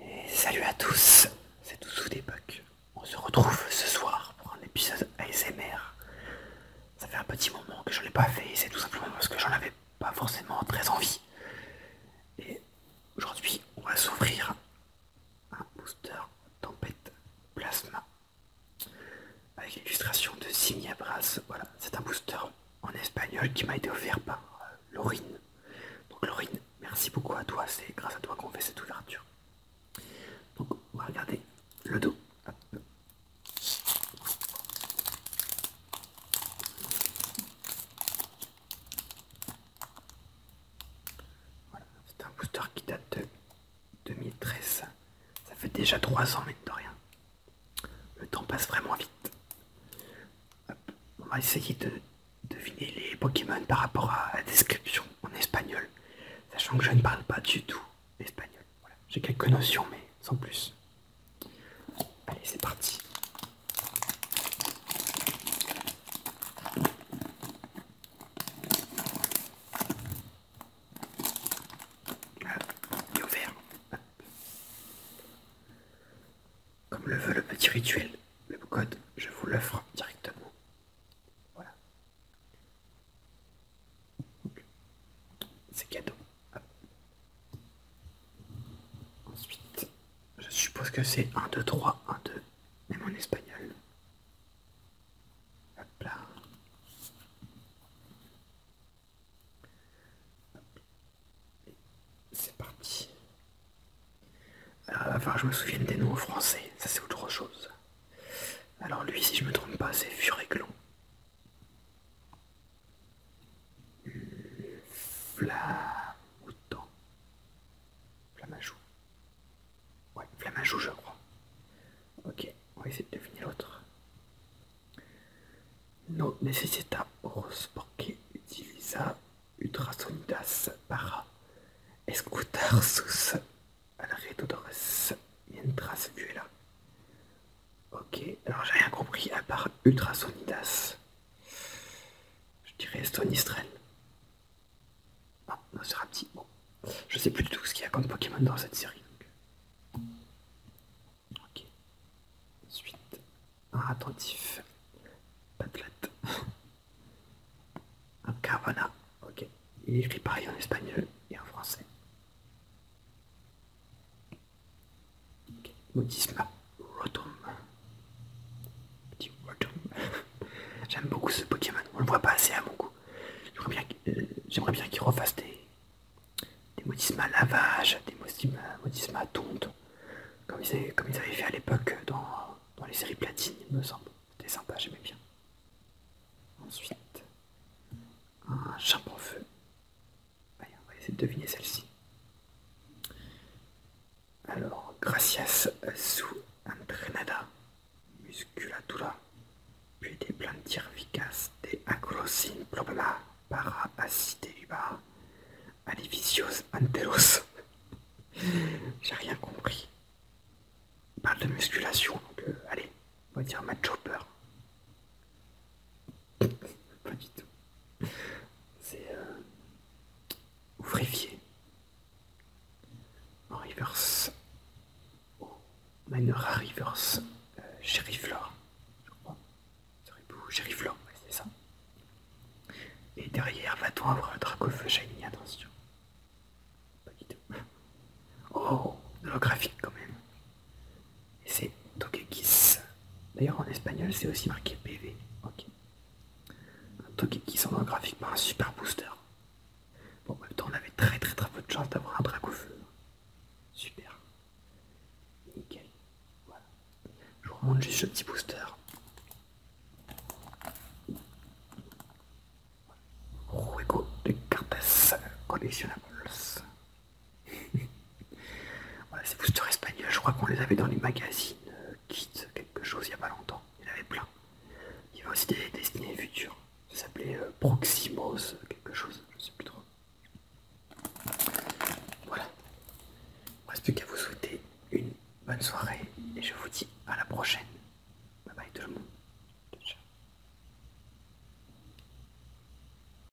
Et salut à tous, c'est des d'époque. On se retrouve ce soir pour un épisode ASMR. Ça fait un petit moment que je n'ai l'ai pas fait, c'est tout simplement parce que j'en avais pas forcément très envie. Et aujourd'hui, on va s'ouvrir un booster tempête plasma avec l'illustration de brass Voilà, c'est un booster en espagnol qui m'a été offert par euh, Laurine. Donc Laurine, merci beaucoup à toi, c'est grâce à toi qu'on fait cette ouverture. Donc on va regarder le dos. Voilà, c'est un booster qui date de 2013. Ça fait déjà trois ans, mais de rien. Le temps passe vraiment vite. On va essayer de deviner les Pokémon par rapport à la description en espagnol, sachant que je ne parle pas du tout espagnol. J'ai quelques notions, mais sans plus. Allez, c'est parti. Comme le veut le petit rituel, le code, je vous l'offre directement. Voilà. C'est cadeau. Ensuite, je suppose que c'est 1, 2, 3, 1, 2, Et mon espagnol. Hop là. C'est parti. Alors, je me souviens des noms français, ça c'est autre chose. Alors, lui, si je me trompe pas, c'est Furéglon. à Flamajou. Ouais, joue, je crois. Ok, on va essayer de deviner l'autre. No necessita horos porque utiliza ultrasonidas para escutarsus sus alrededores mientras vuela. Ok, alors j'ai rien compris à part ultrasonidas. Je dirais Stonistrel non c'est bon. Je sais plus du tout ce qu'il y a comme Pokémon dans cette série. Ok. Ensuite, un attentif. un Ok. je écrit pareil en espagnol et en français. Ok. Rotom. J'aime beaucoup ce Pokémon, on le voit pas assez à beaucoup. J'aimerais bien qu'il euh, refassent des, des modismes à lavage, des modismes, à tonte, comme ils, avaient, fait à l'époque dans, les séries platine, il me semble. C'était sympa, j'aimais bien. Ensuite, un champ en feu. on va essayer de deviner celle-ci. Alors, gracias sous su entrenada musculatura, puis des vicas des agros, in, problema para asistir à anteros. J'ai rien compris. parle de musculation, donc euh, allez, on va dire match Pas tout. C'est. Euh, ou En reverse. Oh, Manora reverse. chéri Flore. Je Flore, c'est ça. Et derrière, va-t-on avoir un Shiny Attention. Pas du Oh, le graphique quand même. Et c'est Togekiss. D'ailleurs, en espagnol, c'est aussi marqué PV. Un toque qui s'en graphiquement un super booster. Bon, en même temps, on avait très très très peu de chance d'avoir un dragon feu. Super. Nickel. Voilà. Je vous remonte juste ce petit booster. Ruego de cartes collectionnables. voilà, vous booster espagnol, je crois qu'on les avait dans les magazines quitte euh, quelque chose, il n'y a pas longtemps. Il y en avait plein. Il y avait aussi des destinées futures. Ça s'appelait euh, Proximos, quelque chose, je ne sais plus trop. Voilà. Il ne reste plus qu'à vous souhaiter une bonne soirée et je vous dis à la prochaine. Bye bye tout le monde. Ciao.